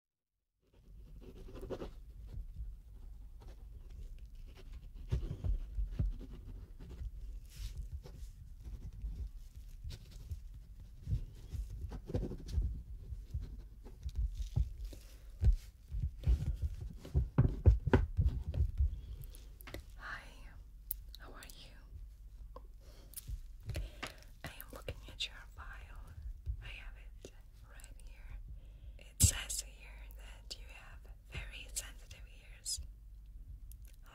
Hi, how are you? I am looking at your file. I have it right here. It says here that you have very sensitive ears.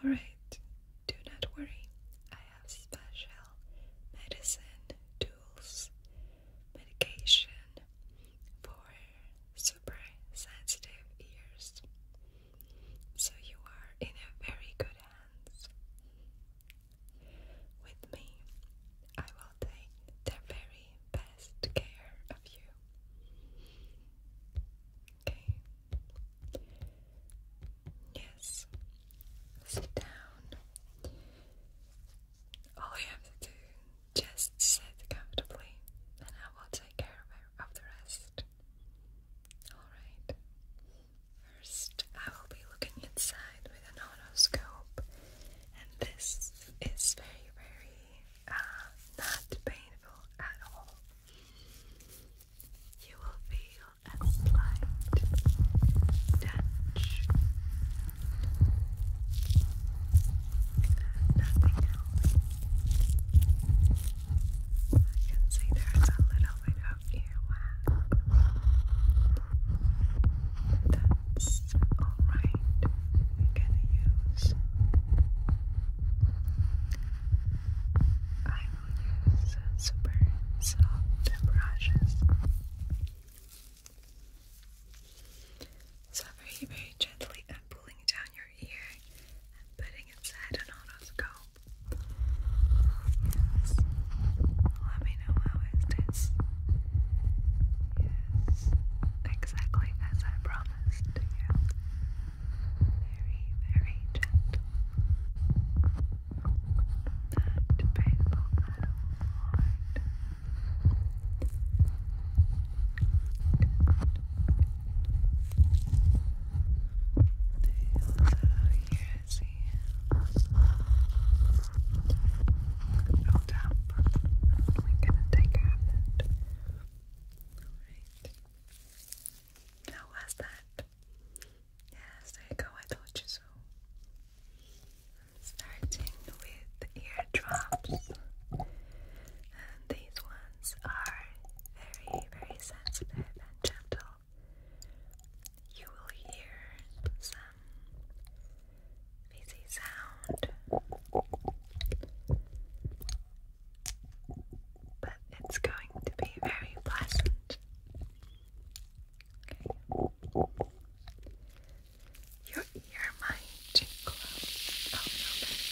Alright, do not worry. I have special medicine, tools, medication for super sensitive ears. So you are in a very good hands. With me, I will take their very best care of you. Okay. Yes. Sit down. All you have to do just sit comfortably and I will take care of the rest. Alright. First, I will be looking inside with an otoscope, and this is very, very uh, not painful at all. You will feel a slight touch, nothing else. I can see there's a little going out earwax. That's alright. We're gonna use. I will use super soft brushes. So very, very gently I'm pulling down your ear and putting inside an otoscope. Yes. Let me know how it is. Yes, exactly as I promised you. Very, very gentle. Not painful at all. Right busy. Build up. We're gonna take it. Alright. How was that? Yes, there you go. I told you so. starting with eardrops. And these ones are very, very sensitive and gentle you will hear some fizzy sound, but it's going to be very pleasant. Your ear might close a little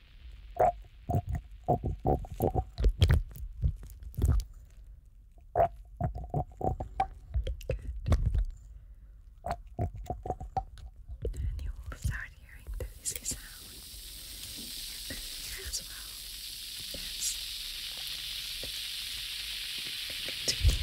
Good. Then you will start hearing the easy sound. And then here as well. Yes. Continue.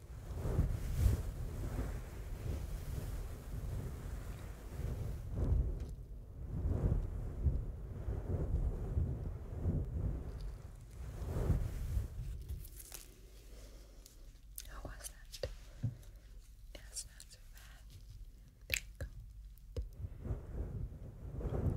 How oh, was that? That's not so bad. There you go. Good.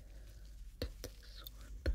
Did this one.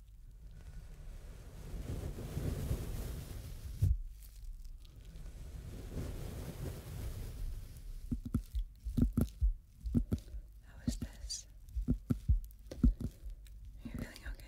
How is this? Are you feeling okay?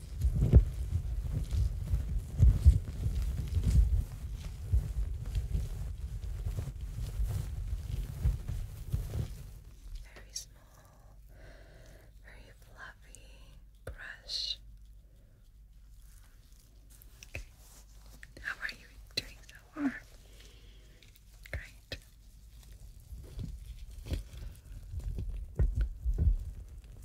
Very small, very fluffy brush. Okay. How are you doing so far? Great.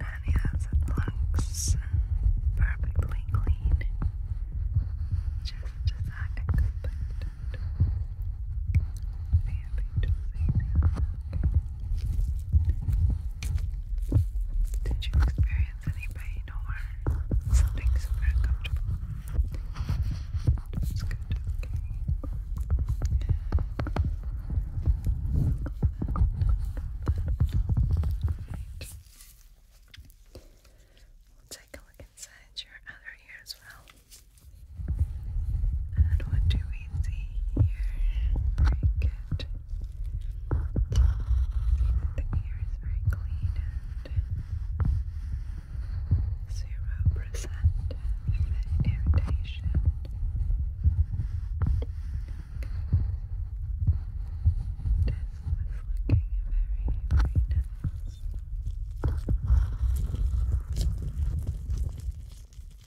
And yes, it looks perfectly clean, just as I expected. Okay. Did you experience any pain or something uncomfortable? That's good, okay. We'll take a look inside your other ear well. And what do we see here? Very good. The ear is very clean zero percent irritation. This was looking very, very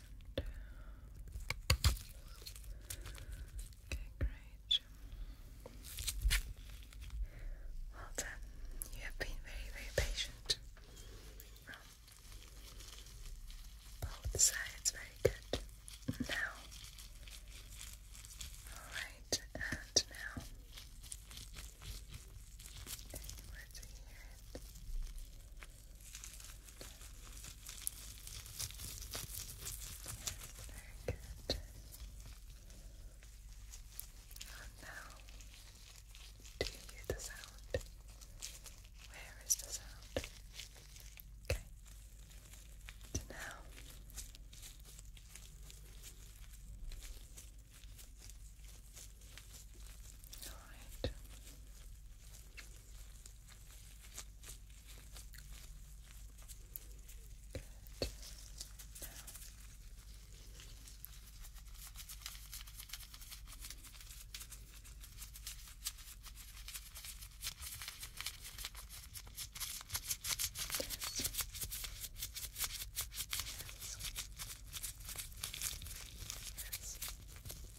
Okay, great. Well done. You have been very, very patient. both sides, very good. Now, all right, and now, let's hear very good. And now, do you hear the sound? Where is the sound? Okay. So now. Alright. Good. Now. Yes. Yes. Yes. Okay, well,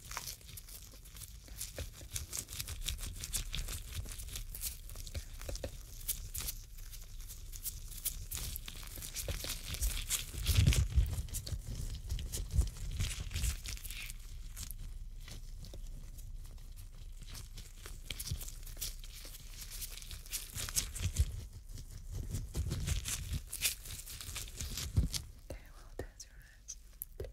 that's your down my left or right. Down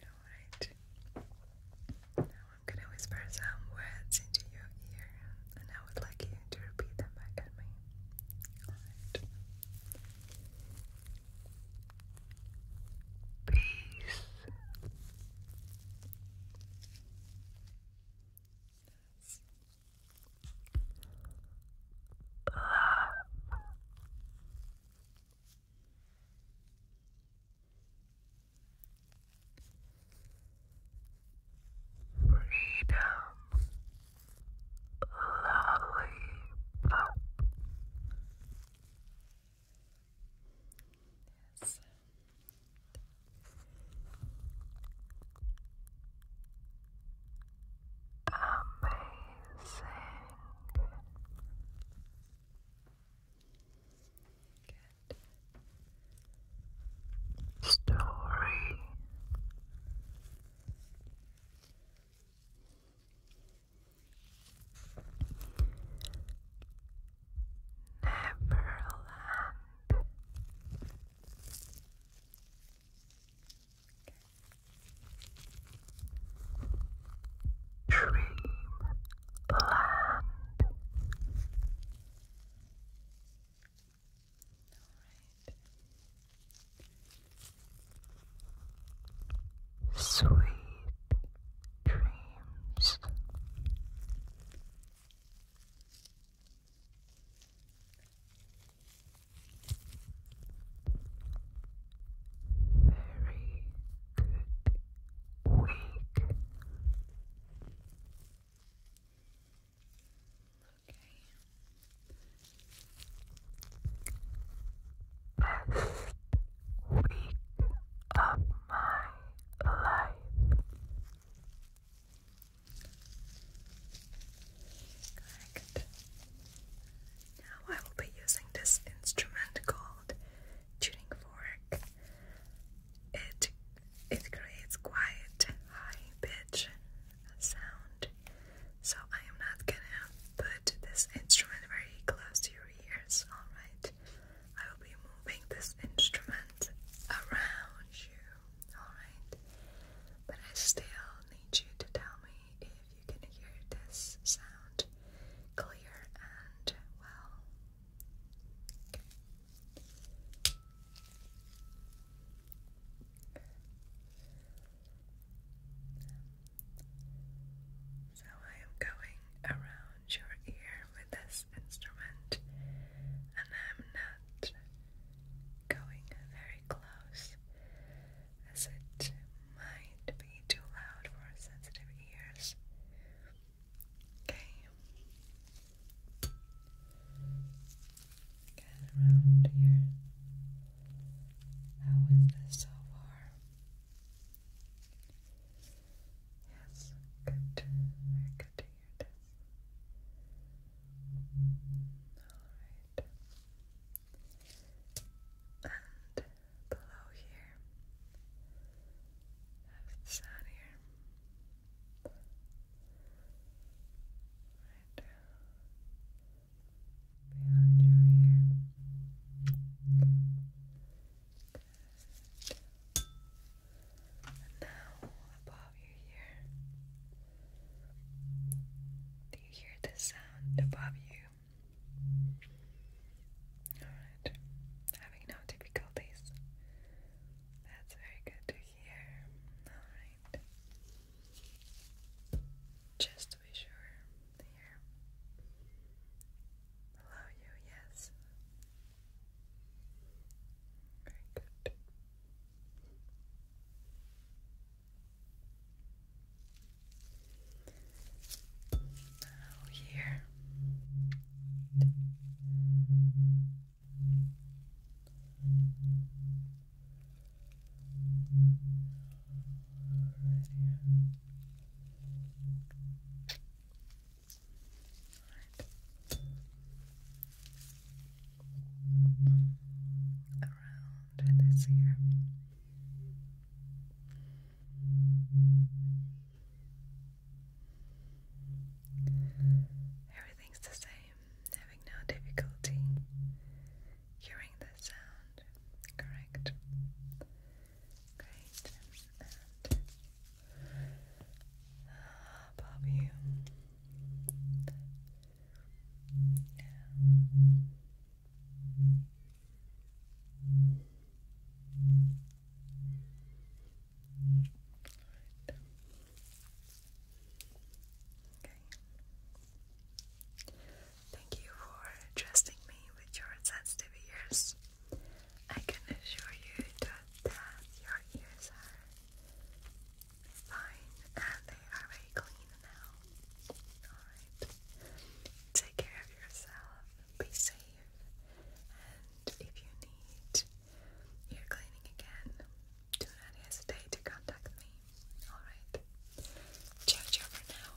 Alright. Now I'm gonna whisper some words into your ear and I would like you to repeat them back at me. Alright. Peace love. Freedom lollipop. Yes. Amazing. Story. Neverland. Dreamland. Sweet dreams. Very good week. Okay. Best week of my life. Now I will be using this instrument called tuning fork. It it creates quiet, high pitch sound. So I am not gonna put this instrument very close to your ears, alright? I will be moving this instrument around you alright? But I still need you to tell me if you can hear this sound clear and well. So I am going around your ear with this instrument, and I'm not going very close as it might be too loud for sensitive ears. Okay. Get around here. How is this so far? Yes, good. Very good Alright and below here have the sun here right beyond you here Good. and now above you here do you hear the sound above you? Alright, having no difficulties. That's very good to hear. Alright. Just to be sure, here. Below you, yes. Very good. Now here. Right here. All right around this year. Everything's the same, having no difficulty hearing the sound, correct? Great. And uh, above you, Thank you for trusting me with your sensitive ears. I can assure you that your ears are fine, and they are very clean now. Alright. Take care of yourself, be safe, and if you need ear cleaning again, do not hesitate to contact me. Alright. Ciao, ciao for now.